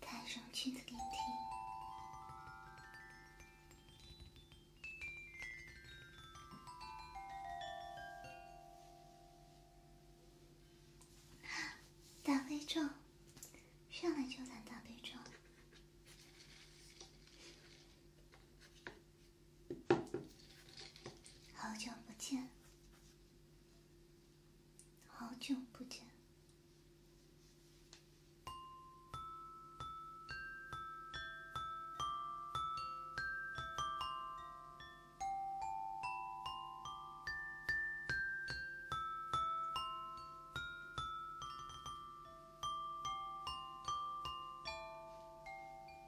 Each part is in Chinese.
太容易的电梯，大悲咒，上来就打大悲咒。好久不见。好久不见。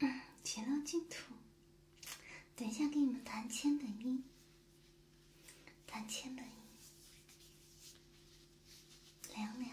嗯，极净土。等一下，给你们弹千本樱。三千的音，凉凉。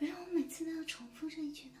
为什么每次都要重复这一句呢？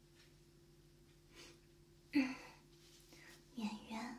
演员。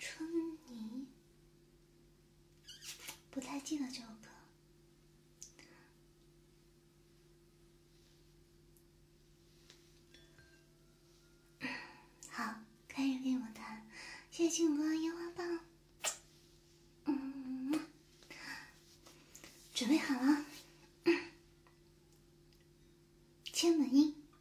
春泥。不太记得这首歌。好，可以给我弹，谢谢星光烟花棒。嗯，准备好了，千本樱。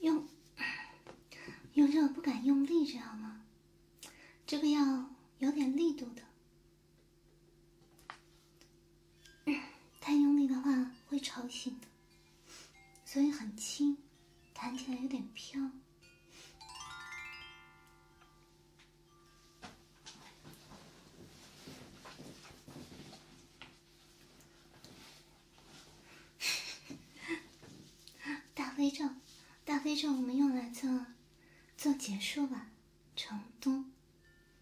用用这不敢用力，知道吗？这个要有点力度的。太用力的话会吵醒的，所以很轻，弹起来有点飘。大飞咒，大飞咒，我们用来做做结束吧，成都。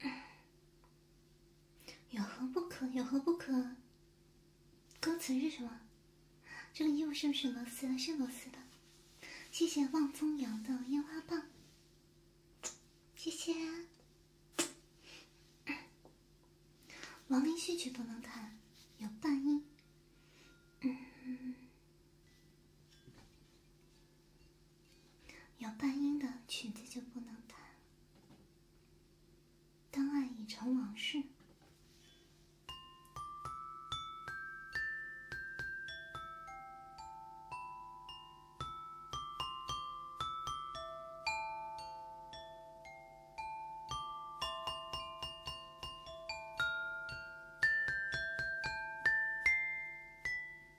有何不可？有何不可？歌词是什么？这个衣服是不是螺丝的？是螺丝的。谢谢望风摇的烟花棒，谢谢。亡灵序曲不能弹，有半音。嗯，有半音的曲子就不能弹。当爱已成往事。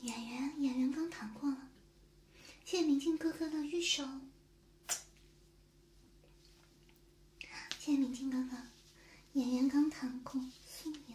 演员演员刚谈过了，谢谢明镜哥哥的玉手，谢谢明镜哥哥，演员刚谈过，素颜。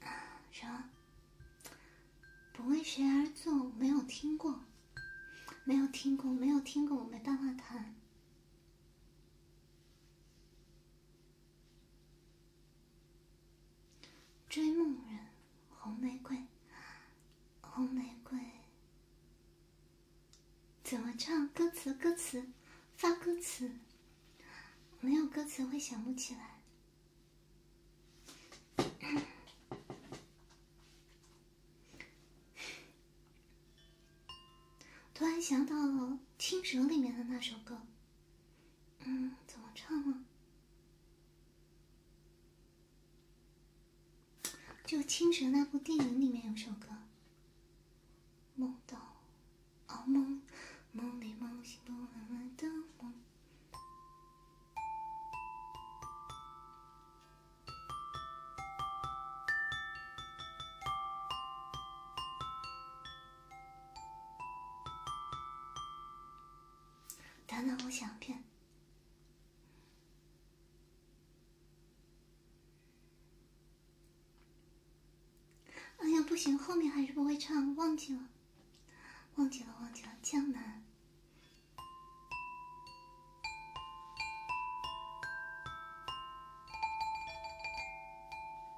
啊，什么？不为谁而作？没有听过，没有听过，没有听过，我没办法弹。追梦人，红玫瑰，红玫瑰，怎么唱？歌词，歌词，发歌词。没有歌词会想不起来。突然想到《青蛇》里面的那首歌。嗯，怎么唱啊？就青蛇那部电影里面有首歌，梦到，啊梦，梦里梦醒都难的梦。等等，我想片。哎呀，不行，后面还是不会唱，忘记了，忘记了，忘记了，江南。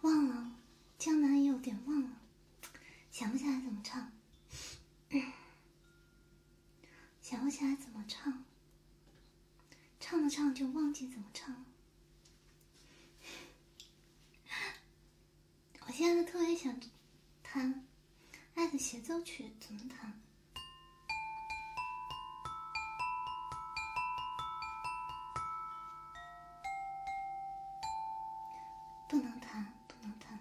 不忘了。江南有点忘了，想不起来怎么唱，想不起来怎么唱，唱着唱就忘记怎么唱了。我现在特别想弹《爱的协奏曲》，怎么弹？不能谈，不能谈。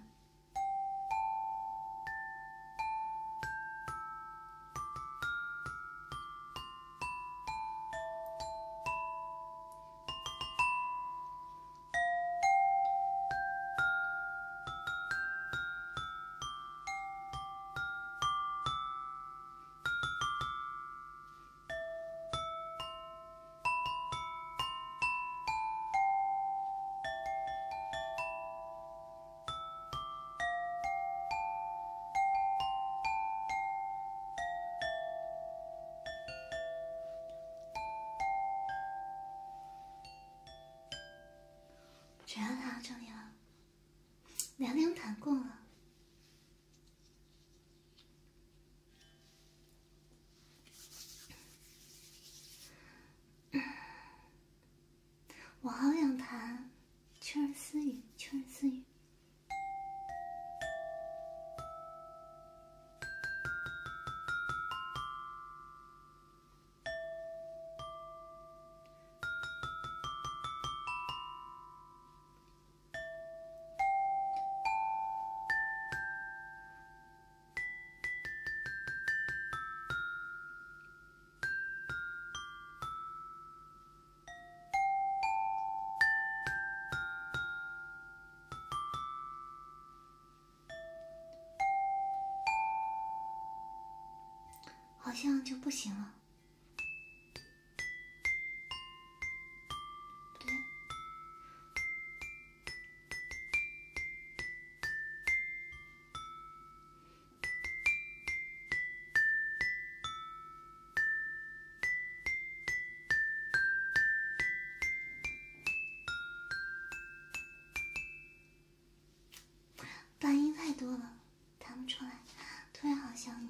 只要他这里了，凉凉谈过了。我好想谈，确认私语，确认私语。好像就不行了。杂音太多了，弹不出来。突然好想你。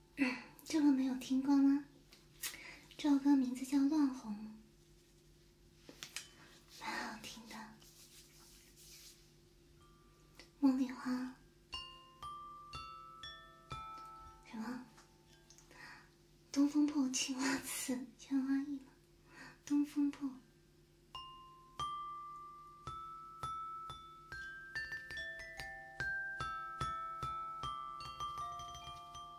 这个没有听过吗？这首歌名字叫《乱红》，蛮好听的。茉莉花，什么？《东风破》《青花瓷，千花意》吗？《东风破》。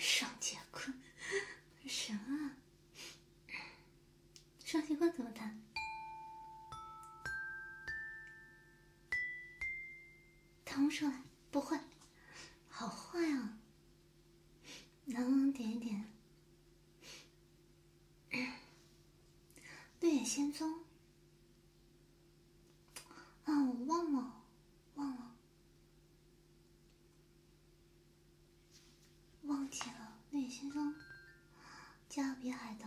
双节棍，什么？双截棍怎么弹？弹不出来，不会，好坏啊！能不能点一点？绿野仙踪啊！我忘了，忘了。忘记了，那也轻松。加勒比海盗。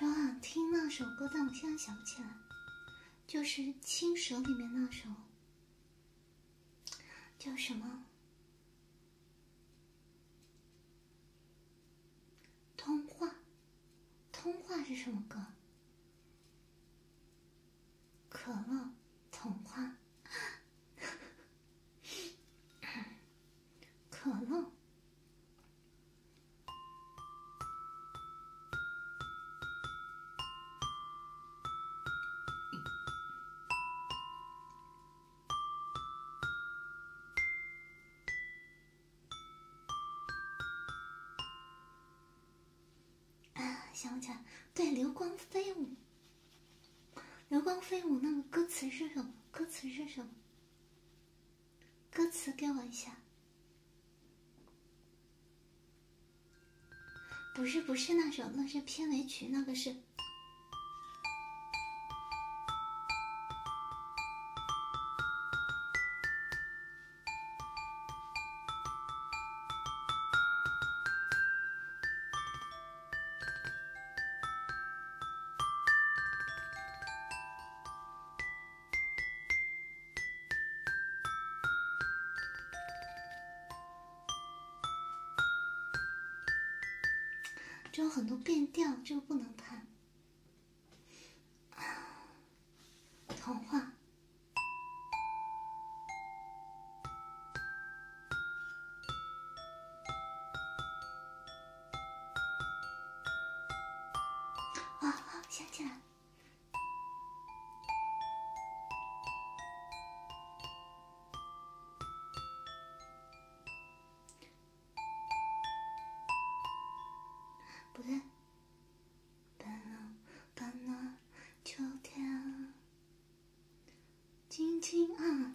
我 想听那首歌，但我现在想不起来，就是《青蛇》里面那首。叫什么？通话，通话是什么歌？可乐，童话，可 乐。啊，想不起来。对，流光飞舞，流光飞舞，那个歌词是什么？歌词是什么？歌词给我一下。不是不是那首，那是片尾曲，那个是。就有很多变调，这个不能弹。童话啊，想起来不对，把了把了秋天，轻轻啊。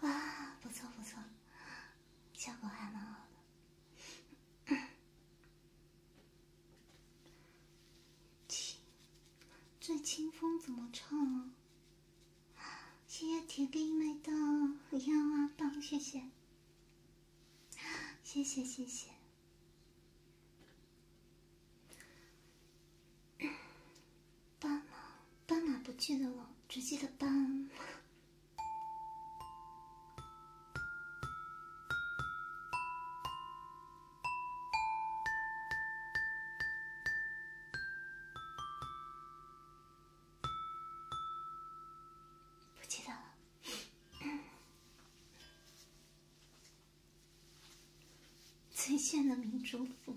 哇，不错不错，效果还蛮好的。这清风怎么唱啊？谢谢铁兵妹的腰啊棒，谢谢，谢谢谢谢。斑马，斑马不记得了，只记得斑。不记得了，最炫的明珠府。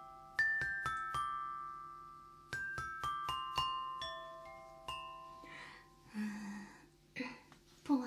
嗯，不晚。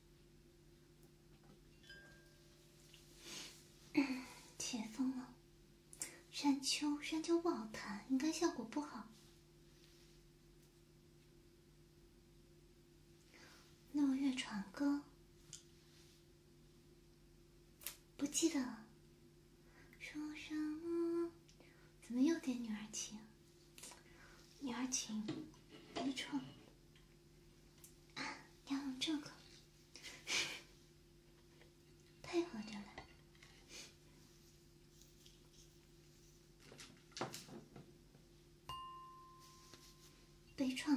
解封了，山丘山丘不好弹，应该效果不好。六月传歌，不记得了。说什么？怎么又点女儿情？女儿情，悲怆啊！要用这个，配合着来，悲怆。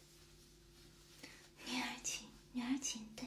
女儿情，女儿情，对。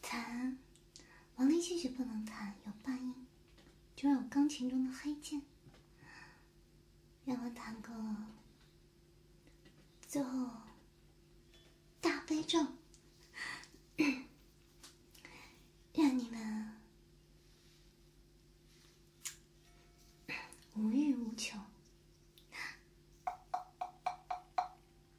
弹，王力继续不能弹，有半音，就让有钢琴中的黑键。让我弹个，最后大悲咒，让你们无欲无求。